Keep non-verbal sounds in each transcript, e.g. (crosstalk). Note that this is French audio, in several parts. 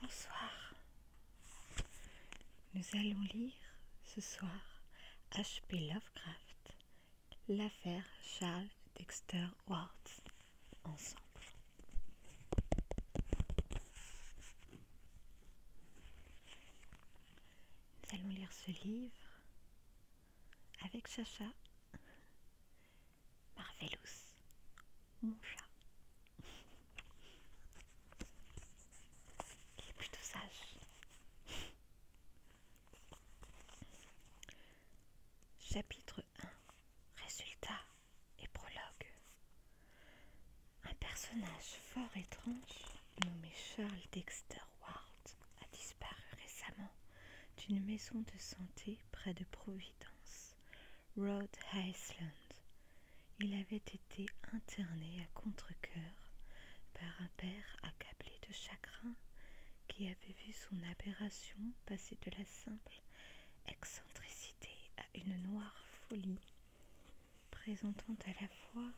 Bonsoir. Nous allons lire ce soir H.P. Lovecraft, l'affaire Charles Dexter Ward ensemble. Nous allons lire ce livre avec Chacha Marvelous, mon chat. Il est plutôt sage. Chapitre 1 Résultats et prologue. Un personnage fort étrange nommé Charles Dexter Ward a disparu récemment d'une maison de santé près de Providence. Rhode Island. Il avait été interné à contre-coeur par un père accablé de chagrin qui avait vu son aberration passer de la simple excentricité à une noire folie, présentant à la fois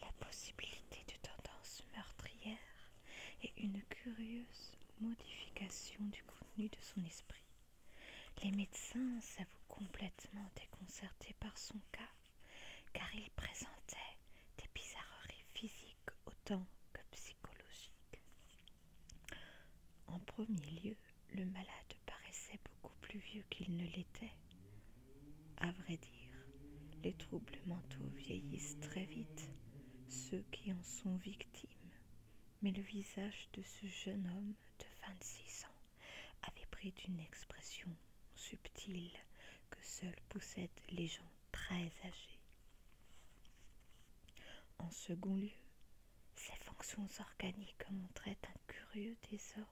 la possibilité de tendances meurtrières et une curieuse modification du contenu de son les médecins s'avouent complètement déconcertés par son cas, car il présentait des bizarreries physiques autant que psychologiques. En premier lieu, le malade paraissait beaucoup plus vieux qu'il ne l'était. À vrai dire, les troubles mentaux vieillissent très vite. Ceux qui en sont victimes mais le visage de ce jeune homme de 26 ans avait pris une expression subtile que seuls possèdent les gens très âgés. En second lieu, ses fonctions organiques montraient un curieux désordre.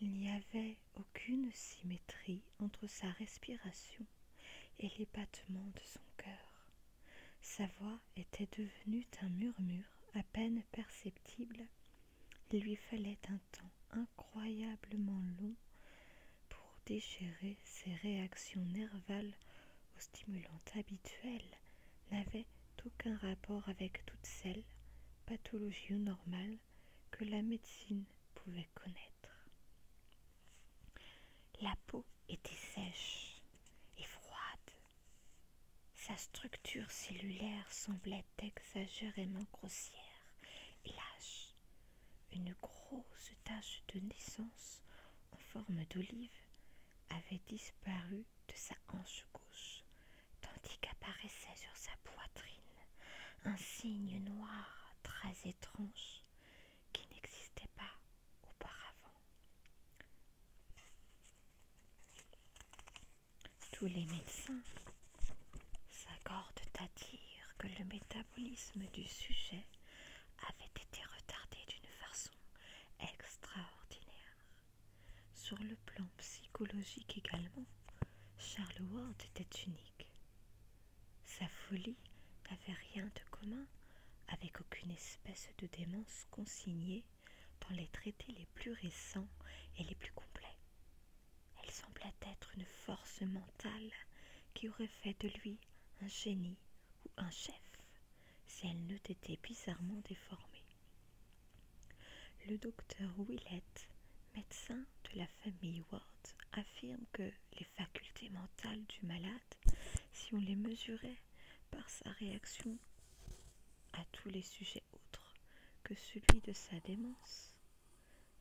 Il n'y avait aucune symétrie entre sa respiration et les battements de son cœur. Sa voix était devenue un murmure à peine perceptible. Il lui fallait un temps incroyablement long pour déchirer ses réactions nervales aux stimulants habituels n'avaient aucun rapport avec toutes celles, pathologies ou normales, que la médecine pouvait connaître. La peau était sèche et froide. Sa structure cellulaire semblait exagérément grossière et lâche. Une grosse tache de naissance en forme d'olive avait disparu de sa hanche gauche, tandis qu'apparaissait sur sa poitrine un signe noir très étrange qui n'existait pas auparavant. Tous les médecins s'accordent à dire que le métabolisme du sujet avait été retardé d'une façon extraordinaire. Sur le plan psychologique également, Charles Ward était unique. Sa folie n'avait rien de commun avec aucune espèce de démence consignée dans les traités les plus récents et les plus complets. Elle semblait être une force mentale qui aurait fait de lui un génie ou un chef si elle n'eût été bizarrement déformée. Le docteur Willett, médecin de la famille Ward, affirme que les facultés mentales du malade, si on les mesurait par sa réaction à tous les sujets autres que celui de sa démence,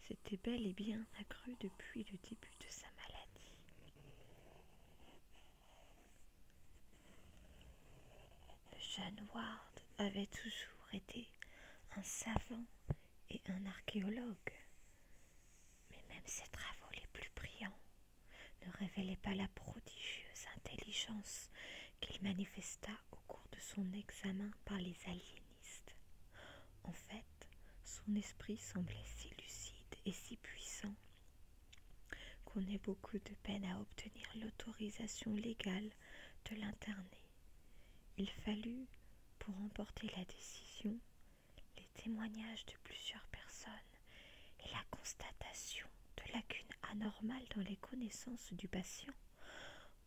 c'était bel et bien accru depuis le début de sa maladie. Le jeune Ward avait toujours été un savant et un archéologue, mais même ses travaux les plus brillants ne révélait pas la prodigieuse intelligence qu'il manifesta au cours de son examen par les aliénistes. En fait, son esprit semblait si lucide et si puissant qu'on ait beaucoup de peine à obtenir l'autorisation légale de l'interner. Il fallut, pour emporter la décision, témoignages de plusieurs personnes et la constatation de lacunes anormales dans les connaissances du patient,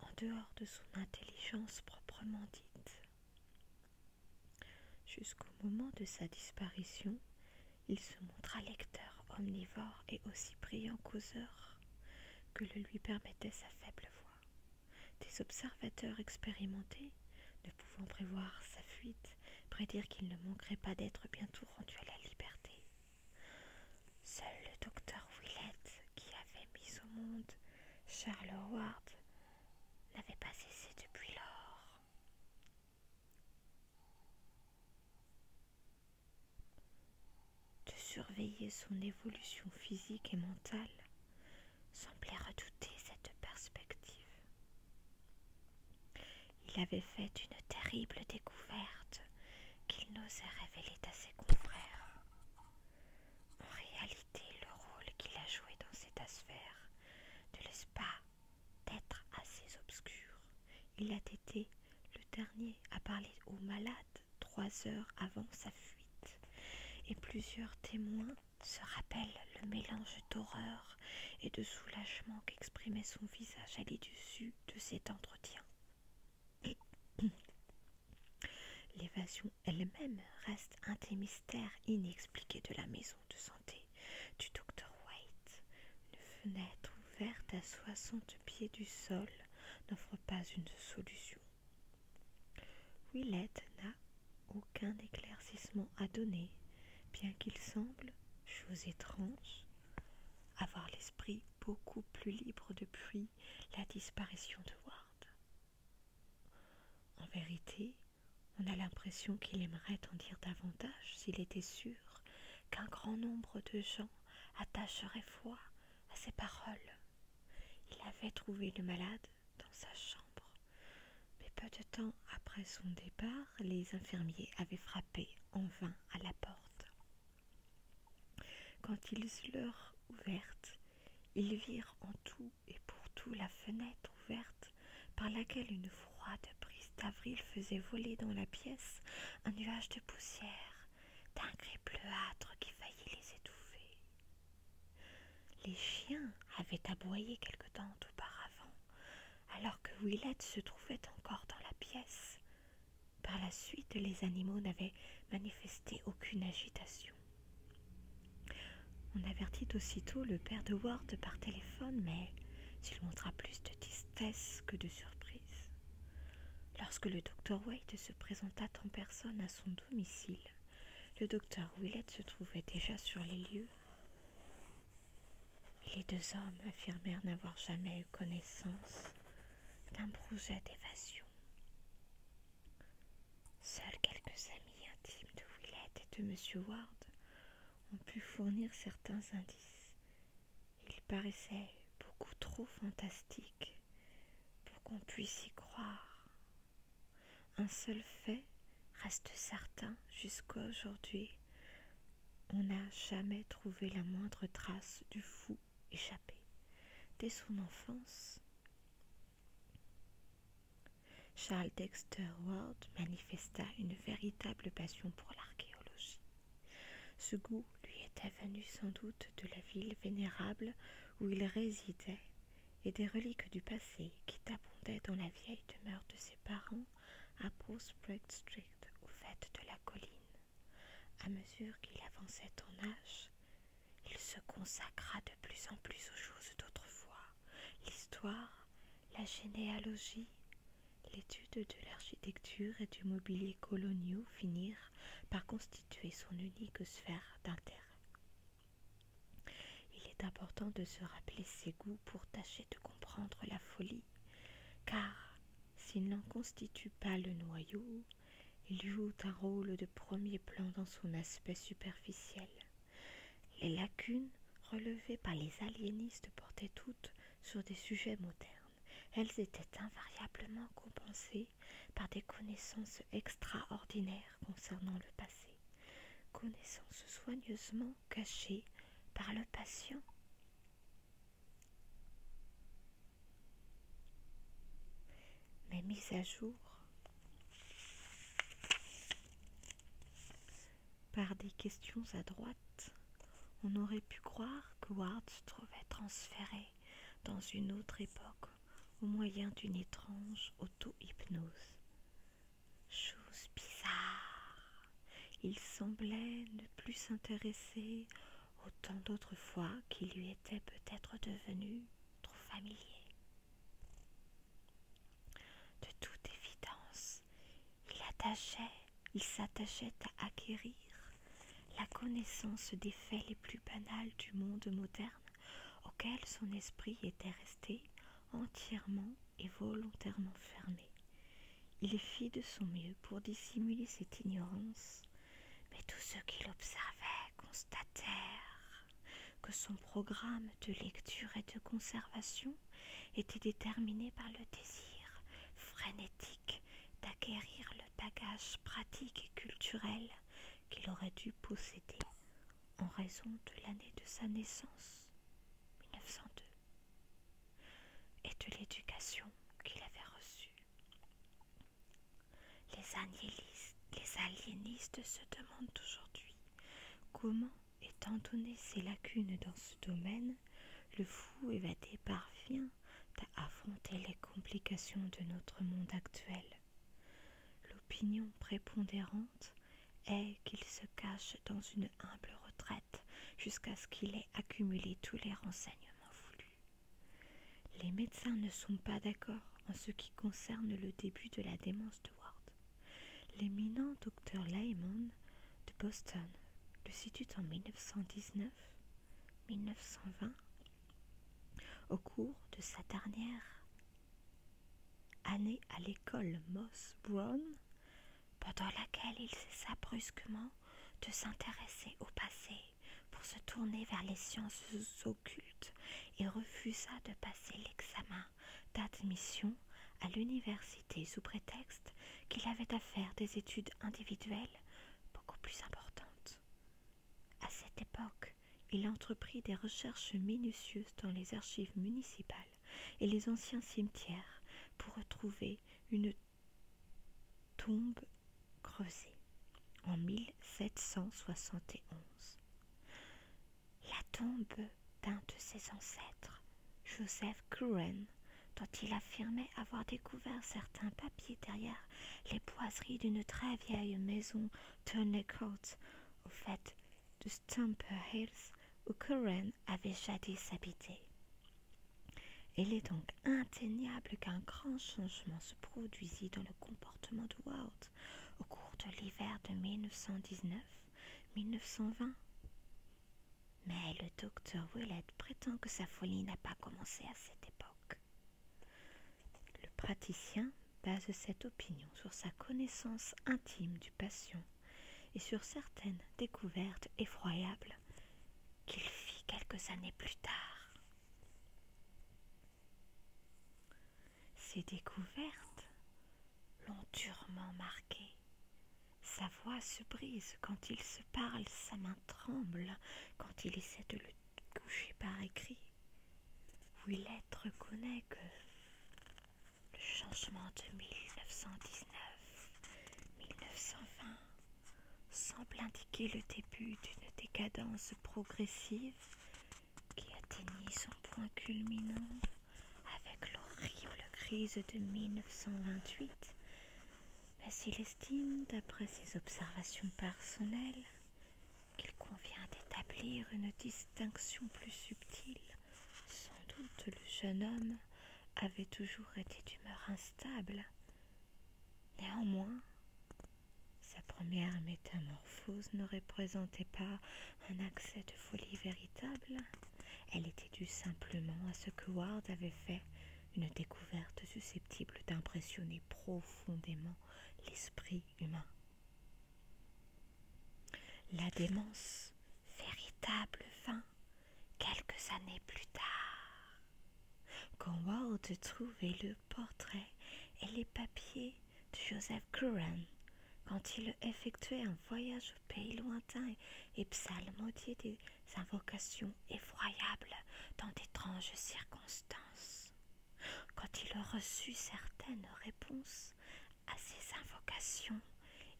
en dehors de son intelligence proprement dite. Jusqu'au moment de sa disparition, il se montra lecteur omnivore et aussi brillant causeur que le lui permettait sa faible voix. Des observateurs expérimentés, ne pouvant prévoir sa fuite, prédire qu'il ne manquerait pas d'être bientôt rendu à la liberté. Seul le docteur Willett, qui avait mis au monde Charles Howard, n'avait pas cessé depuis lors. De surveiller son évolution physique et mentale semblait redouter cette perspective. Il avait fait une terrible découverte qu'il n'osait révéler à ses confrères. En réalité, le rôle qu'il a joué dans cette sphère ne laisse pas d'être assez obscur. Il a été le dernier à parler au malade trois heures avant sa fuite, et plusieurs témoins se rappellent le mélange d'horreur et de soulagement qu'exprimait son visage à l'issue de cet entretien. (clears throat) L'évasion elle-même reste un des mystères inexpliqués de la maison de santé du docteur White. Une fenêtre ouverte à soixante pieds du sol n'offre pas une solution. Willett n'a aucun éclaircissement à donner, bien qu'il semble Chose étrange, avoir l'esprit beaucoup plus libre depuis la disparition de Ward. En vérité, on a l'impression qu'il aimerait en dire davantage s'il était sûr qu'un grand nombre de gens attacheraient foi à ses paroles. Il avait trouvé le malade dans sa chambre, mais peu de temps après son départ, les infirmiers avaient frappé en vain à la porte. Quand ils l'eurent ouverte, ils virent en tout et pour tout la fenêtre ouverte par laquelle une froide brise d'avril faisait voler dans la pièce un nuage de poussière d'un gris bleuâtre qui faillit les étouffer. Les chiens avaient aboyé quelque temps auparavant, alors que Willett se trouvait encore dans la pièce. Par la suite, les animaux n'avaient manifesté aucune agitation. On avertit aussitôt le père de Ward par téléphone, mais il montra plus de tristesse que de surprise. Lorsque le docteur Wade se présenta en personne à son domicile, le docteur Willett se trouvait déjà sur les lieux. Les deux hommes affirmèrent n'avoir jamais eu connaissance d'un projet d'évasion. Seuls quelques amis intimes de Willett et de M. Ward ont pu fournir certains indices. Ils paraissaient beaucoup trop fantastiques pour qu'on puisse y croire. Un seul fait reste certain jusqu'à aujourd'hui on n'a jamais trouvé la moindre trace du fou échappé. Dès son enfance, Charles Dexter Ward manifesta une véritable passion pour l'archéologie. Ce goût lui était venu sans doute de la ville vénérable où il résidait et des reliques du passé qui abondaient dans la vieille demeure de ses parents à Prospect Street, au fait de la colline. À mesure qu'il avançait en âge, il se consacra de plus en plus aux choses d'autrefois, l'histoire, la généalogie, l'étude de l'architecture et du mobilier coloniaux finirent par constituer son unique sphère d'intérêt. Il est important de se rappeler ses goûts pour tâcher de comprendre la folie, car s'il n'en constitue pas le noyau, il joue un rôle de premier plan dans son aspect superficiel. Les lacunes relevées par les aliénistes portaient toutes sur des sujets modernes. Elles étaient invariablement compensées par des connaissances extraordinaires concernant le passé, connaissances soigneusement cachées par le patient. Mais mis à jour par des questions à droite, on aurait pu croire que Ward se trouvait transféré dans une autre époque au moyen d'une étrange auto-hypnose. Chose bizarre il semblait ne plus s'intéresser Autant d'autres fois Qu'il lui étaient peut-être devenu trop familier De toute évidence, il attachait, il s'attachait à acquérir la connaissance des faits les plus banals du monde moderne auxquels son esprit était resté entièrement et volontairement fermé. Il fit de son mieux pour dissimuler cette ignorance, mais tous ceux qu'il observait constatèrent que son programme de lecture et de conservation était déterminé par le désir frénétique d'acquérir le bagage pratique et culturel qu'il aurait dû posséder en raison de l'année de sa naissance, 1902 et de l'éducation qu'il avait reçue. Les aliénistes, les se demandent aujourd'hui comment, étant donné ses lacunes dans ce domaine, le fou évadé parvient à affronter les complications de notre monde actuel. L'opinion prépondérante est qu'il se cache dans une humble retraite jusqu'à ce qu'il ait accumulé tous les renseignements voulus. Les médecins ne sont pas d'accord en ce qui concerne le début de la démence de Ward. L'éminent docteur Lyman de Boston le situe en 1919-1920 au cours de sa dernière année à l'école Moss Brown pendant laquelle il cessa brusquement de s'intéresser au passé pour se tourner vers les sciences occultes et refusa de passer l'examen d'admission à l'université sous prétexte qu'il avait à faire des études individuelles beaucoup plus importantes. À cette époque, il entreprit des recherches minutieuses dans les archives municipales et les anciens cimetières pour retrouver une tombe creusée en 1771. La tombe d'un de ses ancêtres, Joseph Curran, dont il affirmait avoir découvert certains papiers derrière les boiseries d'une très vieille maison Turney Court, au fait de Stamper Hills, où Curran avait jadis habité. Il est donc inténiable qu'un grand changement se produisit dans le comportement de Ward au cours de l'hiver de 1919-1920. Mais le docteur Willett prétend que sa folie n'a pas commencé à cette époque. Le praticien base cette opinion sur sa connaissance intime du patient et sur certaines découvertes effroyables qu'il fit quelques années plus tard. Ses découvertes l'ont durement marqué. Sa voix se brise quand il se parle, sa main tremble quand il essaie de le coucher par écrit. Willette reconnaît que le changement de 1919-1920 semble indiquer le début d'une décadence progressive qui atteignit son point culminant avec l'horrible crise de 1928. Mais s'il estime, d'après ses observations personnelles, qu'il convient d'établir une distinction plus subtile. Sans doute le jeune homme avait toujours été d'humeur instable Néanmoins, sa première métamorphose ne représentait pas un accès de folie véritable. Elle était due simplement à ce que Ward avait fait une découverte susceptible d'impressionner profondément l'esprit humain. La démence véritable vint quelques années plus tard, quand Walt trouvait le portrait et les papiers de Joseph Curran, quand il effectuait un voyage au pays lointain et psalmodiait des invocations effroyables dans d'étranges circonstances, quand il reçut certaines réponses à ces invocations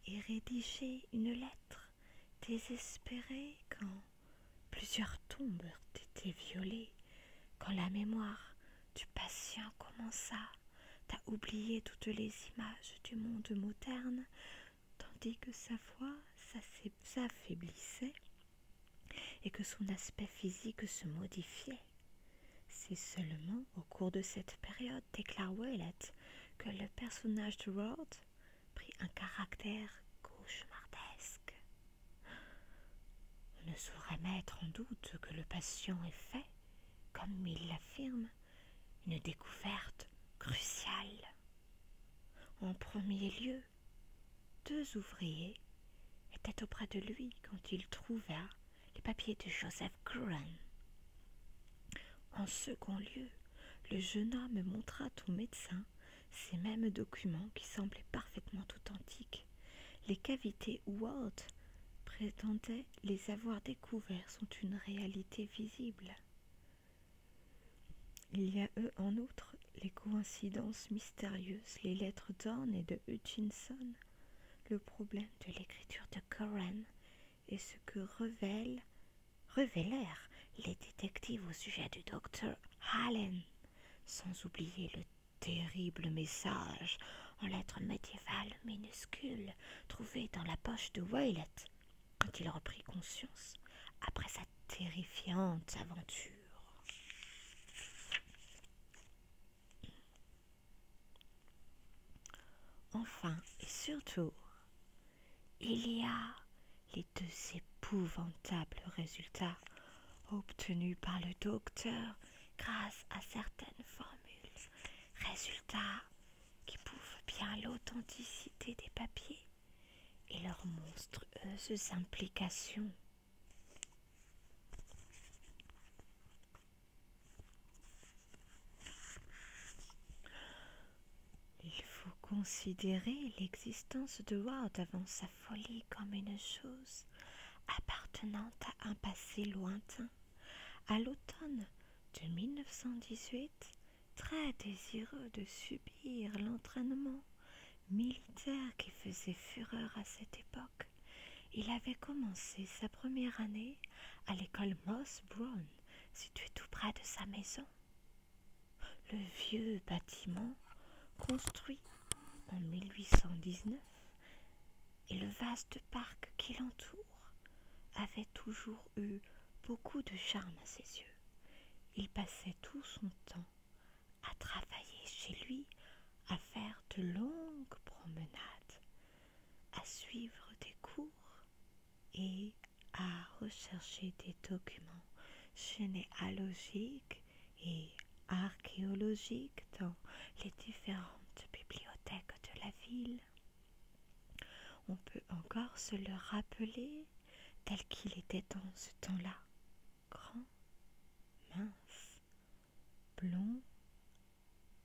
et rédigé une lettre désespéré quand plusieurs tombes étaient violées, quand la mémoire du patient commença à oublier toutes les images du monde moderne, tandis que sa voix s'affaiblissait et que son aspect physique se modifiait. C'est seulement au cours de cette période, déclare Ouellet, que le personnage de Roth prit un caractère cauchemardesque. On ne saurait mettre en doute que le patient ait fait, comme il l'affirme, une découverte cruciale. En premier lieu, deux ouvriers étaient auprès de lui quand il trouva les papiers de Joseph Curran. En second lieu, le jeune homme montra au médecin ces mêmes documents qui semblaient parfaitement authentiques. Les cavités où Walt prétendait les avoir découverts sont une réalité visible. Il y a eux en outre les coïncidences mystérieuses, les lettres d'Orne et de Hutchinson, le problème de l'écriture de Coran et ce que révèle révélèrent les détectives au sujet du docteur Allen, sans oublier le terrible message en lettres médiévales minuscules trouvé dans la poche de Violet quand il reprit conscience après sa terrifiante aventure. Enfin et surtout, il y a les deux épouvantables résultats obtenus par le docteur grâce à certaines formules. Résultats qui prouvent bien l'authenticité des papiers et leurs monstrueuses implications. Il faut considérer l'existence de Ward avant sa folie comme une chose appartenant à un passé lointain. À l'automne de 1918, très désireux de subir l'entraînement militaire qui faisait fureur à cette époque, il avait commencé sa première année à l'école Moss Brown, située tout près de sa maison. Le vieux bâtiment, construit en 1819, et le vaste parc qui l'entoure avaient toujours eu beaucoup de charme à ses yeux. Il passait tout son temps à travailler chez lui, à faire de longues promenades, à suivre des cours et à rechercher des documents généalogiques et archéologiques dans les différentes bibliothèques de la ville. On peut encore se le rappeler tel qu'il était dans ce temps-là, grand, mince, blond,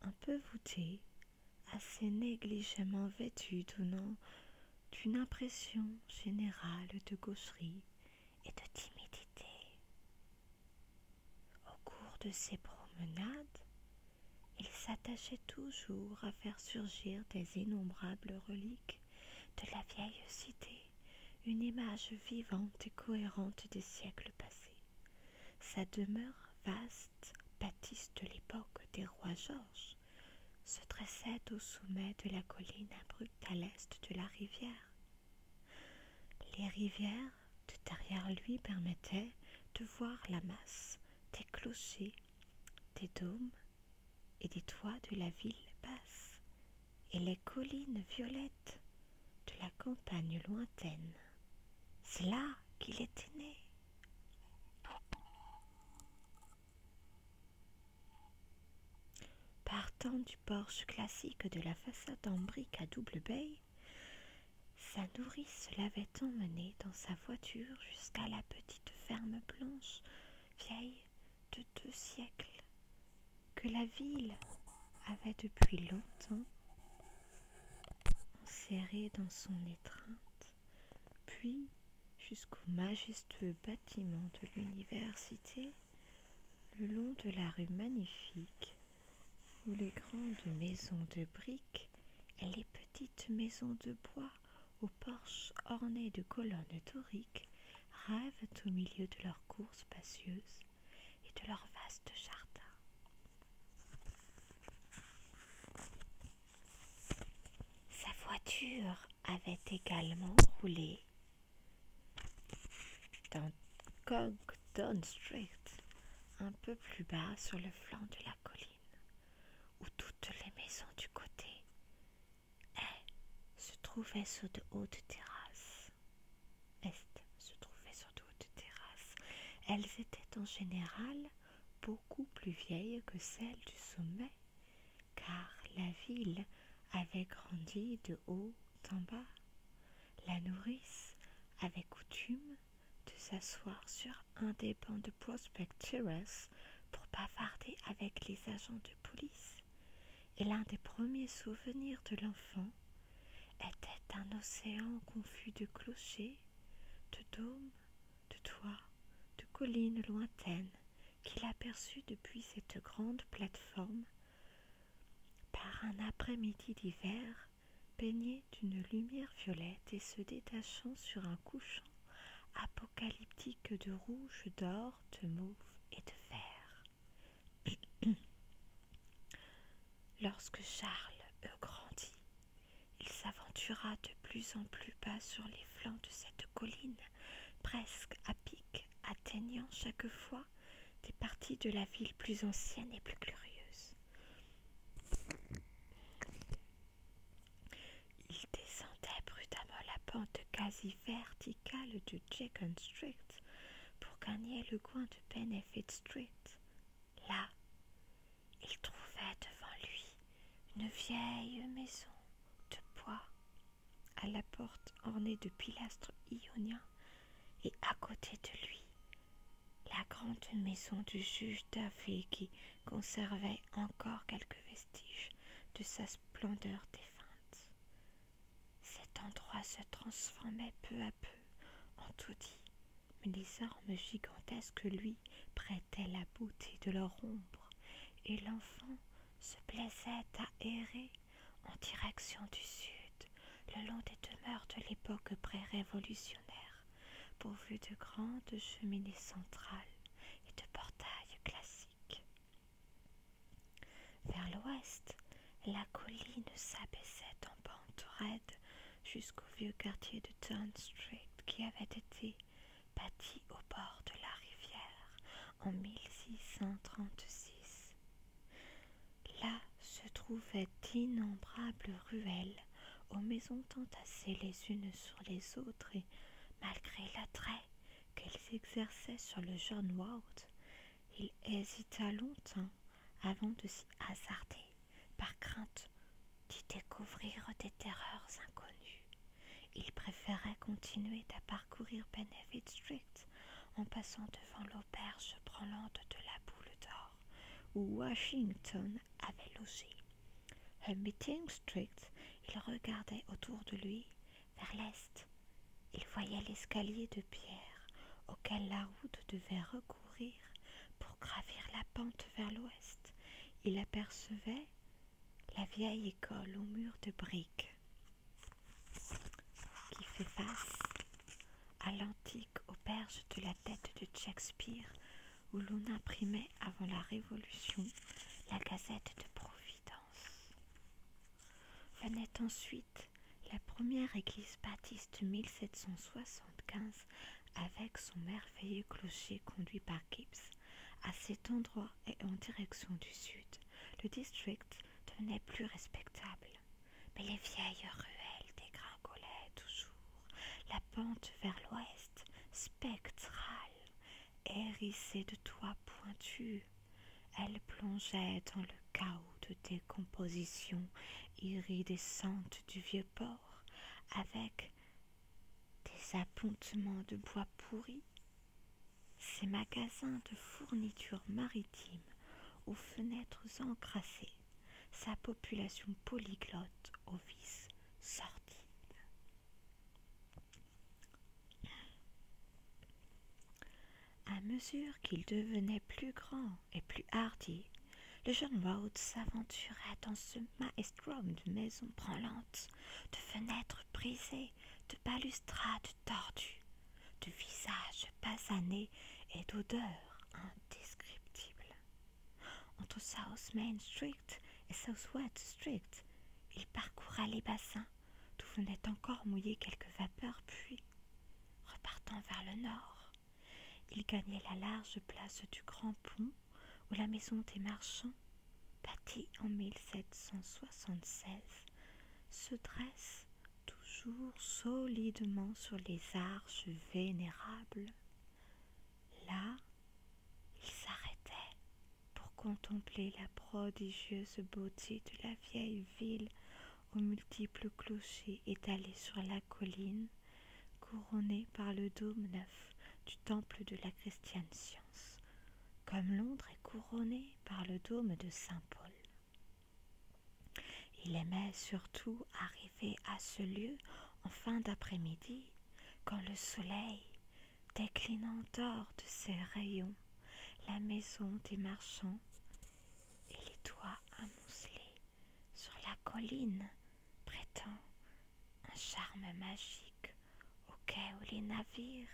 un peu voûté, assez négligemment vêtu, donnant une impression générale de gaucherie et de timidité. Au cours de ses promenades, il s'attachait toujours à faire surgir des innombrables reliques de la vieille cité, une image vivante et cohérente des siècles passés. Sa demeure vaste, bâtisse de l'époque des rois Georges, se dressait au sommet de la colline abrupte à l'est de la rivière. Les rivières de derrière lui permettaient de voir la masse des clochers, des dômes et des toits de la ville basse et les collines violettes de la campagne lointaine. C'est là qu'il était né. Partant du porche classique de la façade en briques à double baie, sa nourrice l'avait emmené dans sa voiture jusqu'à la petite ferme blanche, vieille de deux siècles, que la ville avait depuis longtemps enserrée dans son étreinte, puis jusqu'au majestueux bâtiment de l'université le long de la rue magnifique où les grandes maisons de briques et les petites maisons de bois aux porches ornés de colonnes doriques rêvent au milieu de leurs cours spacieuse et de leurs vastes jardins. Sa voiture avait également roulé dans Cogdon Street, un peu plus bas sur le flanc de la colline, où toutes les maisons du côté est eh, se trouvaient sur de hautes terrasses. Est se trouvaient sur de hautes terrasses. Elles étaient en général beaucoup plus vieilles que celles du sommet car la ville avait grandi de haut en bas. La nourrice avait coutume de s'asseoir sur un des bancs de Prospect Terrace pour bavarder avec les agents de police. Et l'un des premiers souvenirs de l'enfant était un océan confus de clochers, de dômes, de toits, de collines lointaines qu'il aperçut depuis cette grande plateforme par un après-midi d'hiver baigné d'une lumière violette et se détachant sur un couchant apocalyptique de rouge, d'or, de mauve et de vert. (clears throat) Lorsque Charles eut grandi, il s'aventura de plus en plus bas sur les flancs de cette colline, presque à pic atteignant chaque fois des parties de la ville plus ancienne et plus glorieuse. Il descendait brutalement la pente quasi verticale de Jacob Street pour gagner le coin de Benefit Street. Là, il trouvait devant lui une vieille maison de bois à la porte ornée de pilastres ioniens, et à côté de lui, la grande maison du juge d'Athènes qui conservait encore quelques vestiges de sa splendeur défunte. Cet endroit se transformait peu à peu en taudis, mais les armes gigantesques lui prêtaient la beauté de leur ombre, et l'enfant se plaisait à errer en direction du sud, le long des demeures de l'époque pré-révolutionnaire, pourvues de grandes cheminées centrales et de portails classiques. Vers l'ouest, la colline s'abaissait en pente raide jusqu'au vieux quartier de Town Street qui avait été bâti au bord de la rivière en 1636. Là se trouvaient d'innombrables ruelles aux maisons entassées les unes sur les autres et, malgré l'attrait qu'elles exerçaient sur le jeune Ward, il hésita longtemps avant de s'y hasarder par crainte d'y découvrir des terreurs inconnues. Il préférait continuer à parcourir Benefit Street en passant devant l'auberge branlante de la Boule d'Or, où Washington avait logé. À Meeting Street, il regardait autour de lui, vers l'est. Il voyait l'escalier de pierre auquel la route devait recourir pour gravir la pente vers l'ouest. Il apercevait la vieille école aux murs de briques qui fait face à l'antique auberge de la tête de Shakespeare où l'on imprimait avant la Révolution la Gazette de Providence. Venait ensuite la première église baptiste 1775 avec son merveilleux clocher conduit par Gibbs à cet endroit et en direction du sud le district devenait plus respectable. Mais les vieilles ruelles dégringolaient toujours, la pente vers l'ouest, spectrale, hérissée de toits pointus. Elle plongeait dans le chaos de décomposition iridescente du vieux port, avec des appontements de bois pourris, ses magasins de fournitures maritimes aux fenêtres encrassées, sa population polyglotte aux vices sortis. À mesure qu'il devenait plus grand et plus hardi, le jeune Rhodes s'aventurait dans ce maestro de maisons branlantes, de fenêtres brisées, de balustrades tordu, de visage basané et d'odeur indescriptible. Entre South Main Street et Southwest Street, il parcourait les bassins d'où venait encore mouiller quelques vapeurs, puis, repartant vers le nord, il gagnait la large place du Grand Pont où la maison des marchands, bâtie en 1776, se dresse toujours solidement sur les arches vénérables. Là, il s'arrêtait pour contempler la prodigieuse beauté de la vieille ville aux multiples clochers étalés sur la colline, couronnée par le dôme neuf du temple de la christiane science, comme Londres est couronnée par le dôme de Saint-Paul. Il aimait surtout arriver à ce lieu en fin d'après-midi, quand le soleil, déclinant d'or de ses rayons, la maison des marchands et les toits amoncelés sur la colline prêtant un charme magique au quai où les navires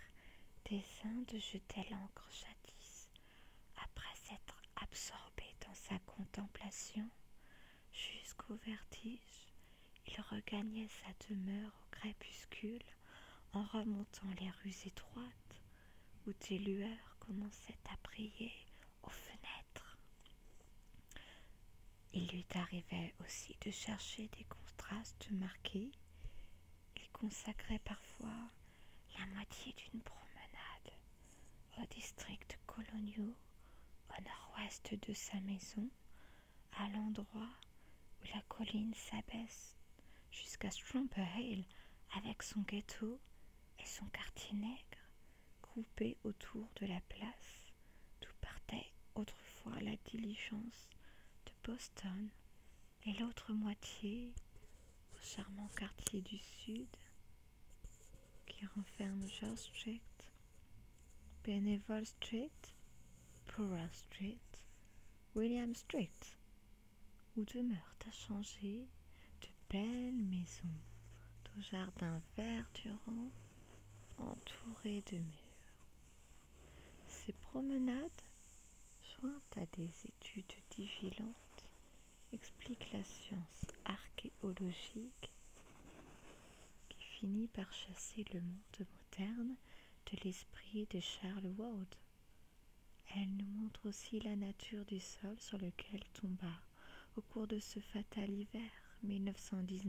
des Indes jetaient l'ancre jadis après s'être absorbé dans sa contemplation jusqu'au vertige, il regagnait sa demeure au crépuscule en remontant les rues étroites où des lueurs commençaient à briller aux fenêtres. Il lui arrivait aussi de chercher des contrastes marqués. Il consacrait parfois la moitié d'une promenade aux district coloniaux au nord-ouest de sa maison, à l'endroit où la colline s'abaisse jusqu'à Strumper Hill avec son ghetto et son quartier nègre groupés autour de la place d'où partait autrefois la diligence de Boston et l'autre moitié au charmant quartier du Sud qui renferme George Street, Benevol Street, Pura Street, William Street, où demeurent à changer de belles maisons de jardins verdurants entourés de murs. Ces promenades sont à désir. « L'étude vigilante explique la science archéologique qui finit par chasser le monde moderne de l'esprit de Charles Ward. Elle nous montre aussi la nature du sol sur lequel tomba au cours de ce fatal hiver 1919-1920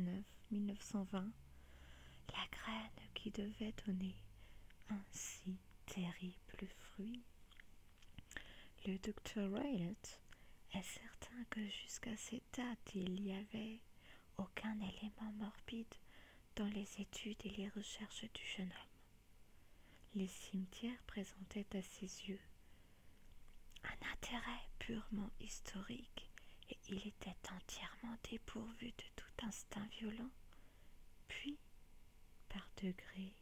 la graine qui devait donner un si terrible fruit le docteur Raylet est certain que jusqu'à cette date il n'y avait aucun élément morbide dans les études et les recherches du jeune homme. Les cimetières présentaient à ses yeux un intérêt purement historique et il était entièrement dépourvu de tout instinct violent. Puis, par degrés,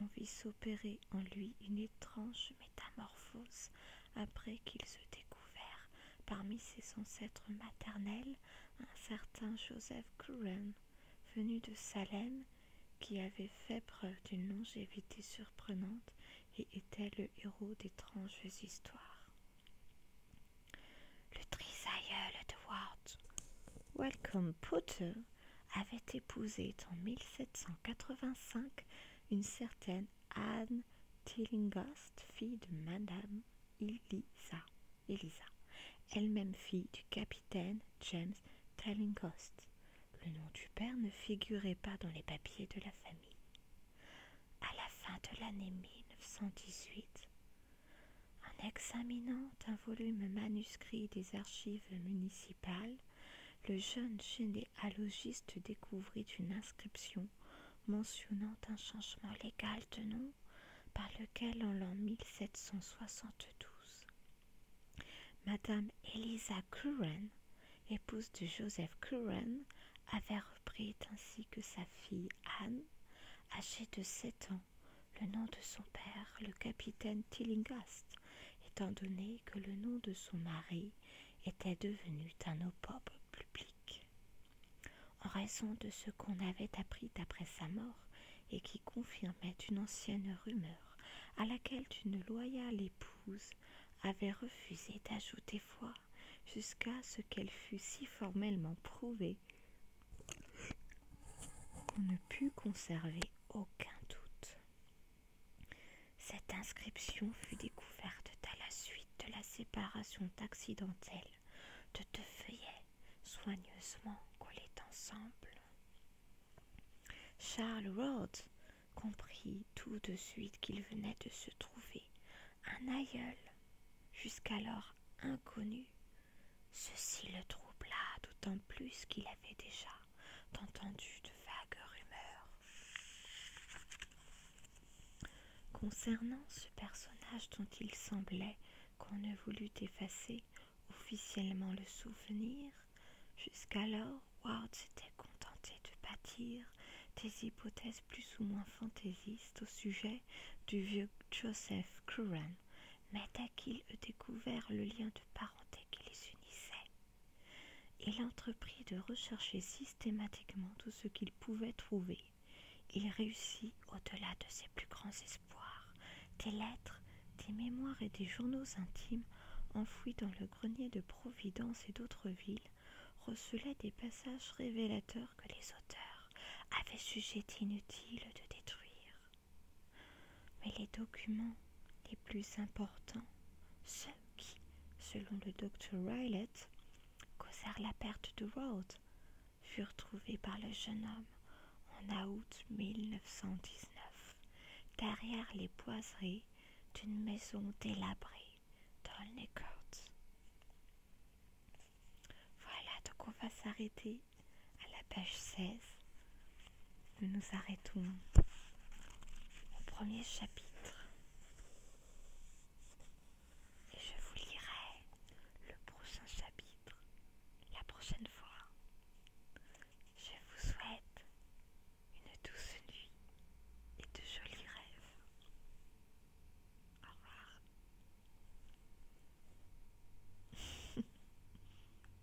on vit s'opérer en lui une étrange métamorphose après qu'il se découvert parmi ses ancêtres maternels un certain Joseph Curran, venu de Salem, qui avait fait preuve d'une longévité surprenante et était le héros d'étranges histoires. Le trisaïeul de Welcome Potter avait épousé en 1785 une certaine Anne Tillinghast, fille de Madame Elisa, Elisa elle-même fille du capitaine James Tillinghast. Le nom du père ne figurait pas dans les papiers de la famille. À la fin de l'année 1918, en examinant un volume manuscrit des archives Municipal, le jeune généalogiste découvrit une inscription mentionnant un changement légal de nom par lequel en l'an 1772, Madame Elisa Curran, épouse de Joseph Curran, avait repris ainsi que sa fille Anne, âgée de 7 le nom de son père, le capitaine Tillinghast, étant donné que le nom de son mari était devenu un opprobre public. En raison de ce qu'on avait appris après sa mort et qui confirmait une ancienne rumeur à laquelle une loyale épouse avait refusé d'ajouter foi jusqu'à ce qu'elle fût si formellement prouvée on ne put conserver aucun doute. Cette inscription fut découverte à la suite de la séparation accidentelle de deux feuillets soigneusement collés ensemble. Charles Rhodes comprit tout de suite qu'il venait de se trouver un aïeul, jusqu'alors inconnu. Ceci le troubla d'autant plus qu'il avait déjà d'entendu de vagues rumeurs. Concernant ce personnage dont il semblait qu'on ne voulut effacer officiellement le souvenir, jusqu'alors Ward s'était contenté de bâtir des hypothèses plus ou moins fantaisistes au sujet du vieux Joseph Curran mais dès qu'il eut découvert le lien de parenté qui les unissait, il entreprit de rechercher systématiquement tout ce qu'il pouvait trouver. Il réussit, au-delà de ses plus grands espoirs, des lettres, des mémoires et des journaux intimes enfouis dans le grenier de Providence et d'autres villes, recelaient des passages révélateurs que les auteurs avaient jugé inutiles de détruire. Mais les documents les plus importants, ceux qui, selon le docteur Rylett, causèrent la perte de Road, furent trouvés par le jeune homme en août 1919, derrière les boiseries d'une maison délabrée dans le Voilà, donc on va s'arrêter à la page 16, nous nous arrêtons au premier chapitre et je vous lirai le prochain chapitre la prochaine fois. Je vous souhaite une douce nuit et de jolis rêves. Au revoir. (laughs)